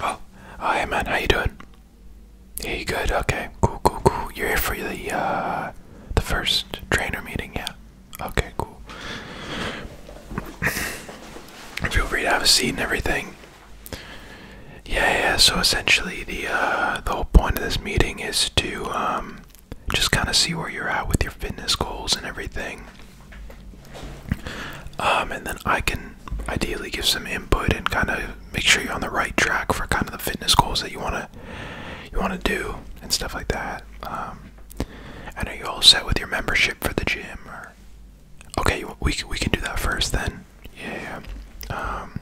Oh, oh, hey man, how you doing? Yeah, you good? Okay, cool, cool, cool. You're here for the uh, the first trainer meeting, yeah? Okay, cool. Feel free to have a seat and everything. Yeah, yeah. So essentially, the uh, the whole point of this meeting is to um, just kind of see where you're at with your fitness goals and everything. Um, and then I can ideally give some input and kind of make sure you're on the right track for kind of the fitness goals that you wanna you wanna do and stuff like that. Um, and are you all set with your membership for the gym? okay, we we can do that first then. Yeah. Um,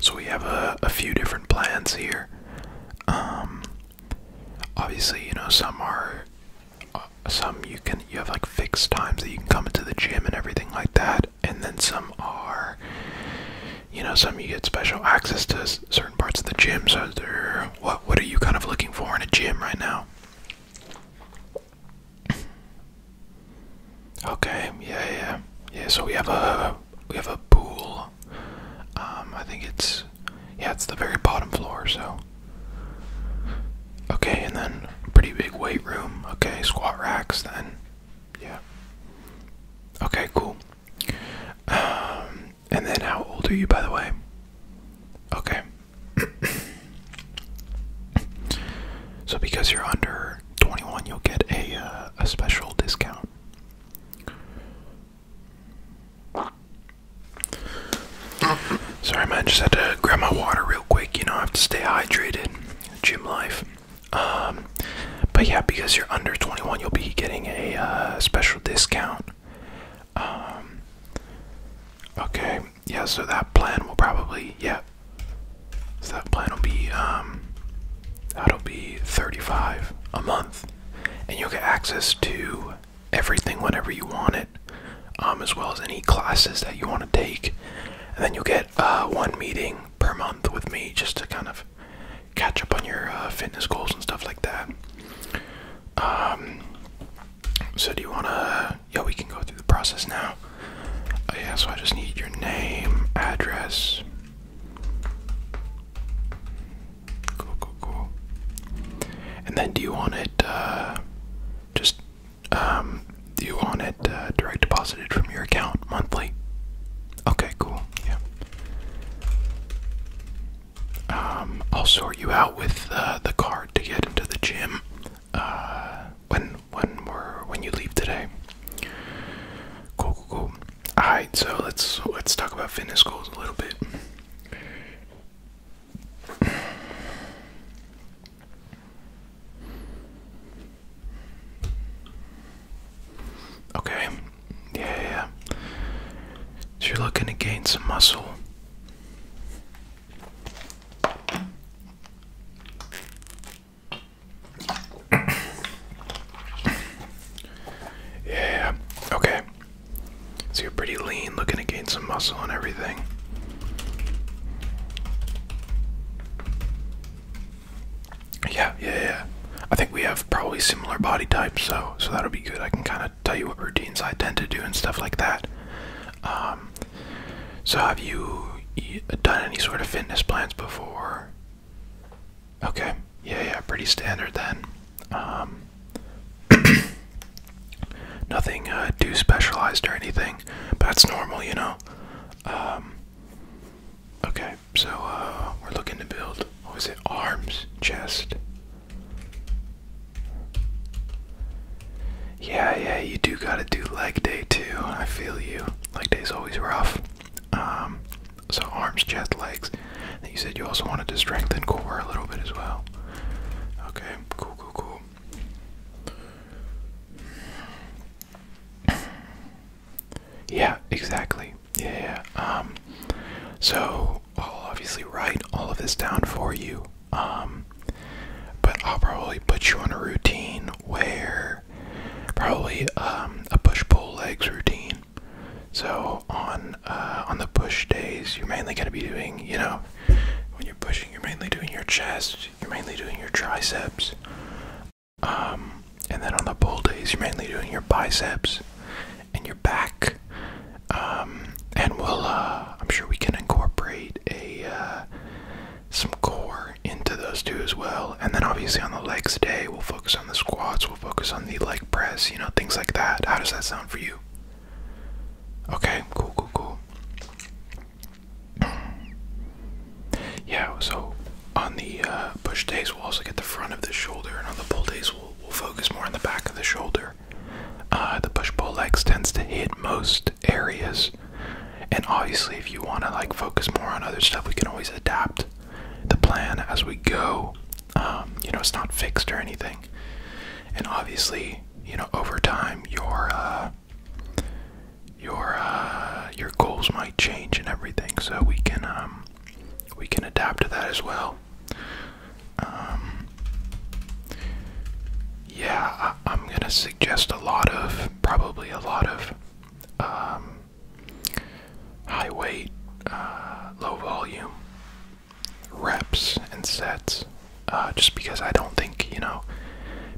so we have a, a few different plans here. Um, obviously, you know, some are, uh, some you can, you have like fixed times that you can come into the gym and everything like that. And then some are, you know, some you get special access to certain parts of the gym. So, what, what are you kind of looking for in a gym right now? Okay, yeah, yeah, yeah. So we have a we have a pool um, I think it's yeah, it's the very bottom floor. So okay, and then pretty big weight room. Okay, squat racks. Then yeah. Okay, cool. Um, and then how old are you, by the way? Okay. so because you're under 21, you'll get a uh, a special discount. Sorry, man. Just had to grab my water real quick. You know, I have to stay hydrated. Gym life. Um, but yeah, because you're under 21, you'll be getting a uh, special discount. Um, okay. Yeah. So that plan will probably yeah. So that plan will be um, that'll be 35 a month and you'll get access to everything whenever you want it um, as well as any classes that you want to take and then you'll get uh, one meeting per month with me just to kind of catch up on your uh, fitness goals and stuff like that um, so do you want to yeah we can go through the process now oh yeah so i just need your name address Cool, cool, cool. And then do you want it uh, just um, do you want it uh, direct deposited from your account monthly? Okay, cool. Yeah. Um, I'll sort you out with uh, the card to get into the gym when when we're when you leave today. Cool, cool, cool. Alright, so let's let's talk about fitness goals a little bit. Okay. Yeah, yeah. So you're looking to gain some muscle yeah, okay. So you're pretty lean, looking to gain some muscle and everything. Yeah, yeah, yeah. I think we have probably similar body types, so so that'll be good. I can kind of tell you what routines I tend to do and stuff like that. Um, so have you done any sort of fitness plans before? Okay. Yeah, yeah, pretty standard then. Um, nothing uh, too specialized or anything, but that's normal, you know. Um, okay, so uh, we're looking to build. What was it? Arms, chest. Yeah, yeah, you do gotta do leg day too. I feel you. Leg day's always rough. Um, so arms, chest, legs. you said you also wanted to strengthen core a little bit as well. Okay, cool, cool, cool. Yeah, exactly. Yeah, yeah. Um, so I'll obviously write all of this down for you. Um, but I'll probably put you on a routine where Probably um, a push-pull legs routine. So on uh, on the push days, you're mainly gonna be doing, you know, when you're pushing, you're mainly doing your chest, you're mainly doing your triceps. Um, and then on the pull days, you're mainly doing your biceps and your back. Um, and we'll, uh, I'm sure we can incorporate a uh, some core into those two as well. And then obviously on the legs day we'll focus on the squats, we'll focus on the leg press, you know, things like that. How does that sound for you? Okay, cool, cool, cool. Yeah, so on the uh, push days, we'll also get the front of the shoulder, and on the pull days, we'll, we'll focus more on the back of the shoulder. Uh, the push pull legs tends to hit most areas and obviously, if you want to like focus more on other stuff, we can always adapt the plan as we go. Um, you know, it's not fixed or anything. And obviously, you know, over time, your uh, your uh, your goals might change and everything. So we can um, we can adapt to that as well. Um, yeah, I'm gonna suggest a lot of probably a lot of um, high weight, uh, low volume reps and sets. Uh, just because I don't think you know,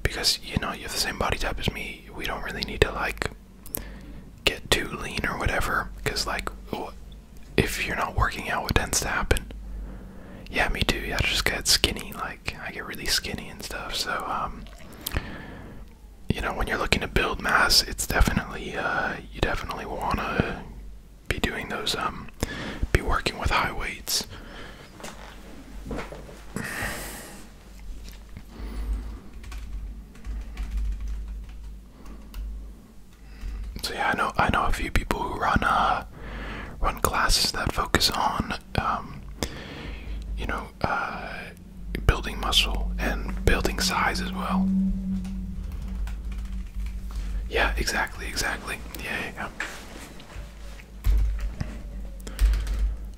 because you know you have the same body type as me, we don't really need to like get too lean or whatever. Because like, if you're not working out, what tends to happen? Yeah, me too. Yeah, just get skinny. Like. I get really skinny and stuff. So um, you know, when you're looking to build mass, it's definitely uh, you definitely wanna be doing those um, be working with high weights. So yeah, I know I know a few people who run uh, run classes that focus on um, you know uh, building muscle and building size as well. Yeah, exactly, exactly. Yeah,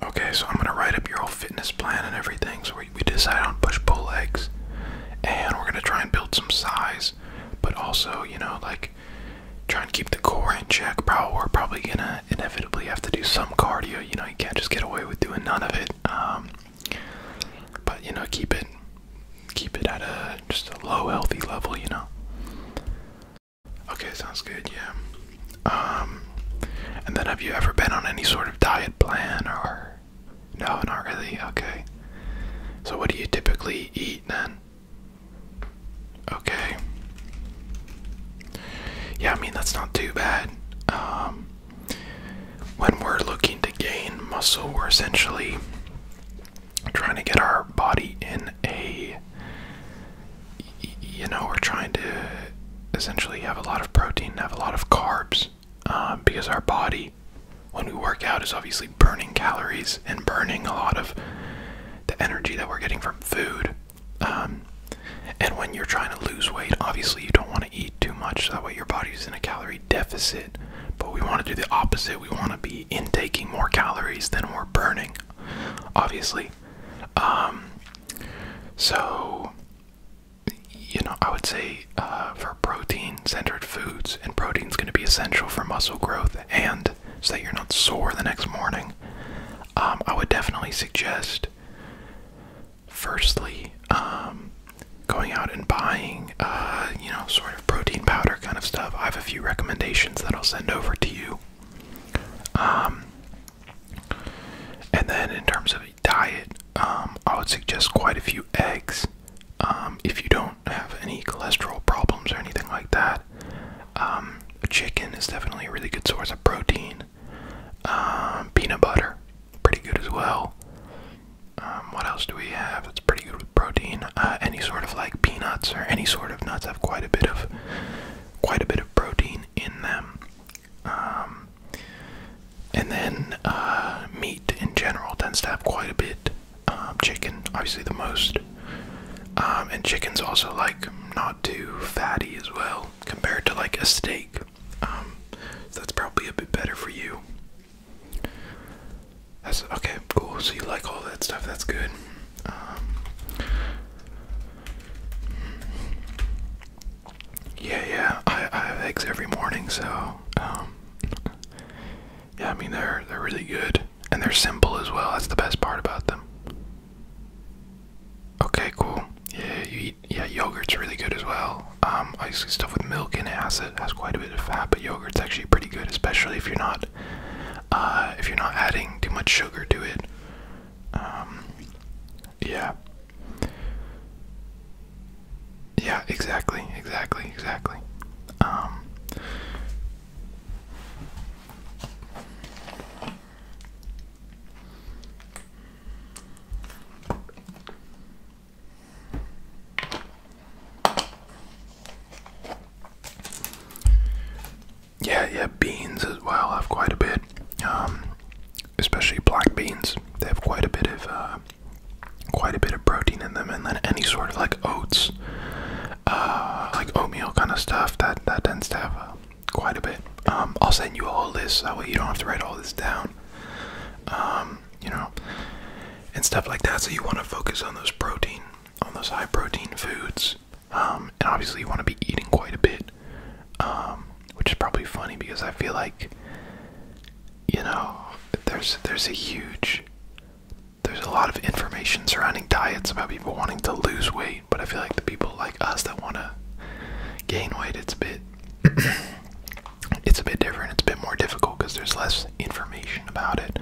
Okay, so I'm gonna write up your whole fitness plan and everything. So we, we decide on push pull legs, and we're gonna try and build some size, but also you know like try and keep the core in check, bro. probably gonna inevitably have to do some cardio. You know, you can't just get away with doing none of it. Um, but you know, keep it, keep it at a just a low healthy level. You know. Okay, sounds good. Yeah. Um, and then have you ever been on any sort of diet plan or? No, not really. Okay. So what do you typically eat then? Okay. Yeah, I mean, that's not too bad. Um, when we're looking to gain muscle, we're essentially trying to get our body in a. You know, we're trying to essentially have a lot of protein, have a lot of carbs, um, because our body, when we work out, is obviously burning calories and burning a lot of the energy that we're getting from food. Um, and when you're trying to lose weight, obviously you don't want to eat too much, that way your body's in a calorie deficit. But we want to do the opposite. We want to be intaking more calories than we're burning, obviously. Um, so, you know, I would say uh, for protein centered foods, and protein's going to be essential for muscle growth and so that you're not sore the next morning. Um, I would definitely suggest, firstly, um, going out and buying, uh, you know, sort of protein powder kind of stuff. I have a few recommendations that I'll send over to you. Um, and then in terms of diet, I would suggest quite a few eggs. if you don't have any cholesterol problems or anything like that, um, chicken is definitely a really good source of protein. Um, peanut butter, pretty good as well. Um, what else do we have? It's pretty good protein. Uh, any sort of like peanuts or any sort of nuts have quite a bit of quite a bit of protein in them. Um, and then uh, meat in general tends to have quite a bit. chicken, obviously the most. Um, and chicken's also like not too fatty as well compared to like a steak. Um, so that's probably a bit better for you. That's okay, cool. So you like all that stuff, that's good. Um, yeah, yeah, I, I have eggs every morning, so yeah, I mean they're they're really good. And they're simple as well. That's the best part about them. Okay, cool. Yeah, you eat. Yeah, yogurt's really good as well. Um, obviously stuff with milk in it has it has quite a bit of fat, but yogurt's actually pretty good, especially if you're not uh, if you're not adding too much sugar to it. Um, yeah. Yeah, exactly, exactly, exactly. Um, yeah, yeah, beans as well have quite a bit, um, especially black beans. They have quite a bit of uh, quite a bit of protein in them, and then any sort of like oats uh, like oatmeal kind of stuff. That that tends to have uh, quite a bit. Um, I'll send you a whole list that way you don't have to write all this down. Um, you know, and stuff like that. So you want to focus on those protein, on those high protein foods. Um, and obviously you want to be eating quite a bit, um, which is probably funny because I feel like, you know, there's there's a huge there's a lot of information surrounding diets about people wanting to lose weight, but I feel like the people like us that want to gain weight, it's a bit, it's a bit different. It's a bit more difficult because there's less information about it.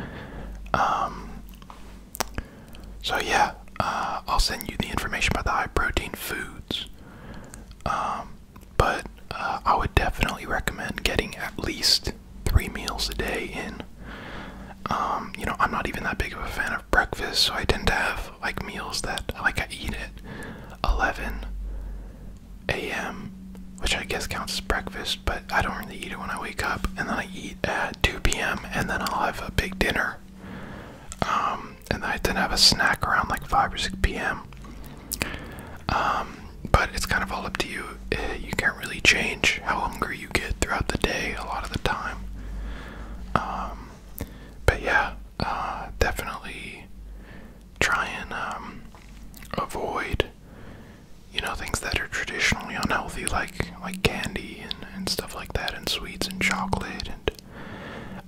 Um, so yeah, uh, I'll send you the information about the high protein foods. Um, but uh, I would definitely recommend getting at least three meals a day in. Um, you know, I'm not even that big of a fan of breakfast, so I tend to have like meals that like I eat at 11 a.m., which I guess counts as breakfast, but I don't really eat it when I wake up, and then I eat at 2 p.m., and then I'll have a big dinner. Um, and then I tend to have a snack around like 5 or 6 p.m. Um, but it's kind of all up to you. Eh, you can't really change how hungry you get throughout the day a lot of the time. Um, but yeah, uh, definitely try and um, avoid you know things that are traditionally unhealthy, like like candy and, and stuff like that, and sweets and chocolate and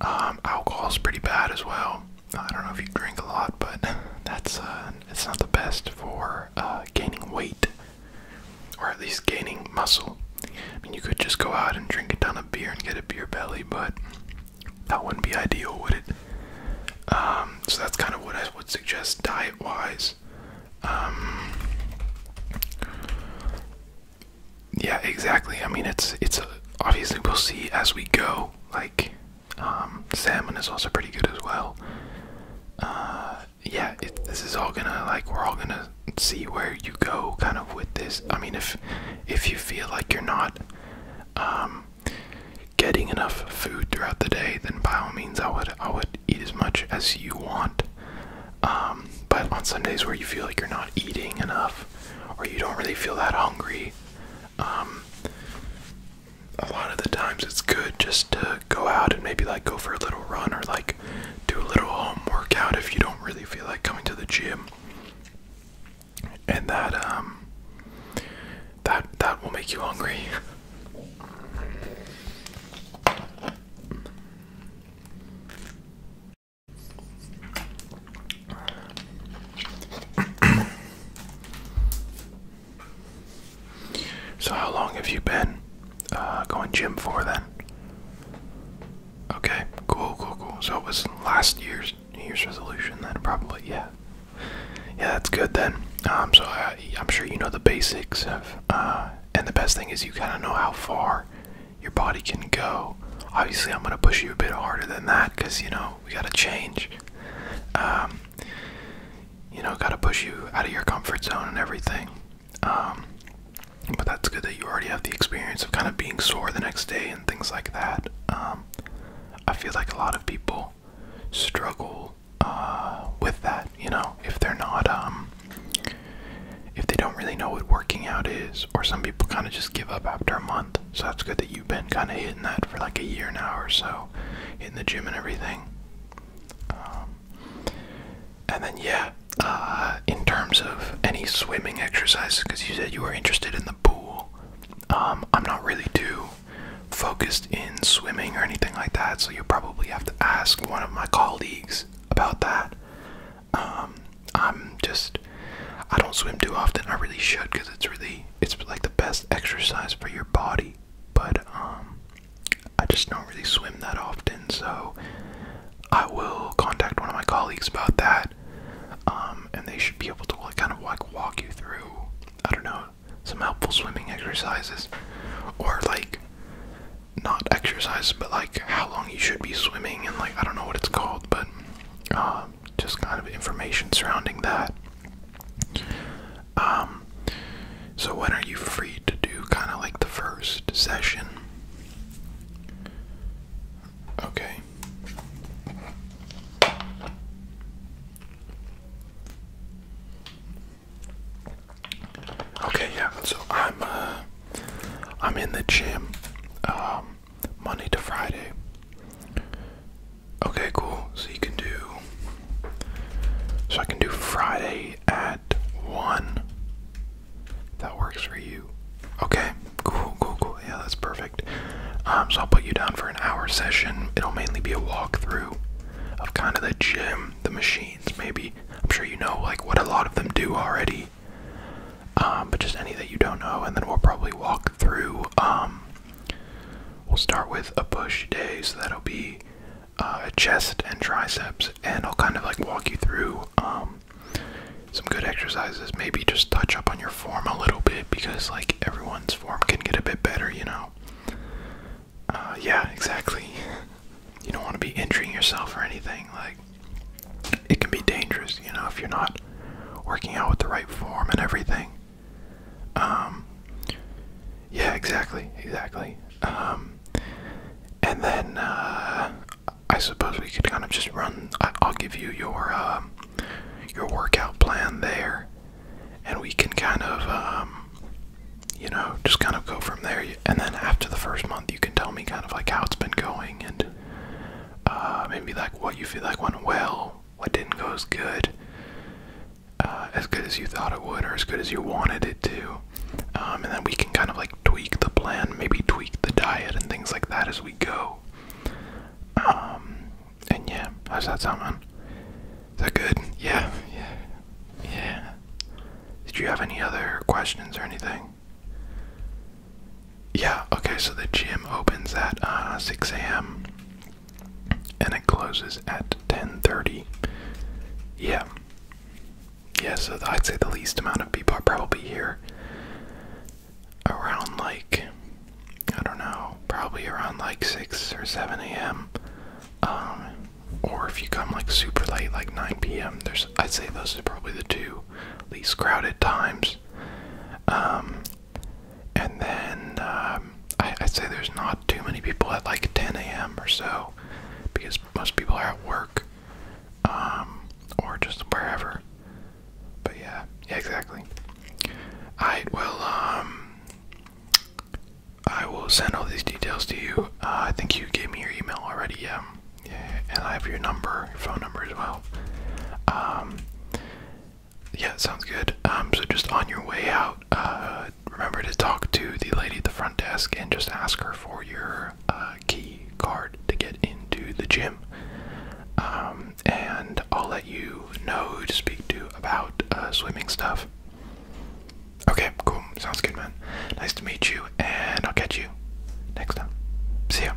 um, alcohol is pretty bad as well. I don't know if you drink a lot, but that's uh, it's not the best for uh, gaining weight or at least gaining muscle. I mean, you could just go out and drink a ton of beer and get a beer belly, but that wouldn't be ideal, would it? Um, so that's kind of what I would suggest diet wise. Um, yeah, exactly. I mean, it's it's obviously we'll see as we go. Like um, salmon is also pretty good as well. Uh, yeah, this is all gonna like we're all gonna see where you go kind of with this. I mean, if if you feel like you're not um, getting enough food throughout the day, then by all means, I would I would eat as much as you want. Um, but on some days where you feel like you're not eating enough, or you don't really feel that hungry, a lot of the times it's good just to go out and maybe like go for a little run or like do a little home workout if you don't really feel like coming to the gym. And that um that that will make you hungry. So how long have you been uh, going gym for then? Okay, cool, cool, cool. So it was last year's New Year's resolution then, probably. Yeah, yeah, that's good then. Um, so I, am sure you know the basics of, uh, and the best thing is you kind of know how far your body can go. Obviously, I'm gonna push you a bit harder than that because you know we gotta change. Um, you know, gotta push you out of your comfort zone and everything. Um, but that's good that you already have the experience of kind of being sore the next day and things like that. Um, I feel like a lot of people struggle uh, with that, you know, if they're not, um, if they don't really know what working out is, or some people kind of just give up after a month. So that's good that you you've been kind of hitting that for like a year now or so, hitting the gym and everything. Um, and then, yeah, uh, in terms of any swimming exercises, because you said you were interested in the pool, um, I'm not really too focused in swimming or anything like that, so you probably have to ask one of my colleagues about that. Um, I'm just, I don't swim too often. I really should because it's really, it's like the best exercise for your body but um, I just don't really swim that often, so I will contact one of my colleagues about that, um, and they should be able to like, kind of like walk you through, I don't know, some helpful swimming exercises, or like not exercise, but like how long you should be swimming, and like I don't know what it's called, but um, just kind of information surrounding that. Um, so when are you free to do kind of like the first session? Okay. Okay, yeah. So I'm uh I'm in the gym um Monday to Friday. Okay, cool. So you can do. So I can do Friday at 1. That works for you. Okay, cool, cool, cool. Yeah, that's perfect. Um, so I'll put you down for an hour session. It'll mainly be a walkthrough of kind of the gym, the machines, maybe. I'm sure you know like what a lot of them do already. Um, but just any that you don't know, and then we'll probably walk through um, We'll start with a push day, so that'll be uh, a chest and triceps, and I'll kind of like walk you through um, some good exercises. Maybe just touch up on your form a little bit because like everyone's form can get a bit better, you know. Uh, yeah, exactly. You don't want to be injuring yourself or anything. Like it can be dangerous, you know, if you're not working out with the right form and everything. Um, yeah, exactly, exactly. Um, and then uh, I suppose we could kind of just run. I'll give you your um, your workout plan there, and we can kind of um, you know just kind of go from there. And then after the first month, you can tell me kind of like how it's been going and uh, maybe like what you feel like went well, what didn't go as good, uh, as good as you thought it would, or as good as you wanted it to. Um, and then we can kind of like tweak the plan, maybe tweak the diet and things like that as we go. Um, and yeah, how's that something? Is that good? Yeah, yeah, yeah. Did you have any other questions or anything? yeah, okay, so the gym opens at uh, 6 a.m. and it closes at 10:30. Yeah. Yeah, so I'd say the least amount of people are probably here around like I don't know, probably around like 6 or 7 a.m. Um, or if you come like super late, like 9 p.m., there's I'd say those are probably the two least crowded times. Um, and then um, I, would say there's not too many people at like 10 a.m. or so because most people are at work um, or just wherever. But yeah, exactly. I will, um, I will send all these details to you. Uh, I think you gave me your email already, yeah. Yeah, and I have your number, your phone number as well. Um, yeah, sounds good. Um, so just on your way out, uh, remember to talk to the lady at the front desk and just ask her for your uh, key card to get into the gym. Um, and I'll let you know who to speak to about uh, swimming stuff. Okay, cool. Sounds good, man. Nice to meet you, and I'll catch you next time. See ya.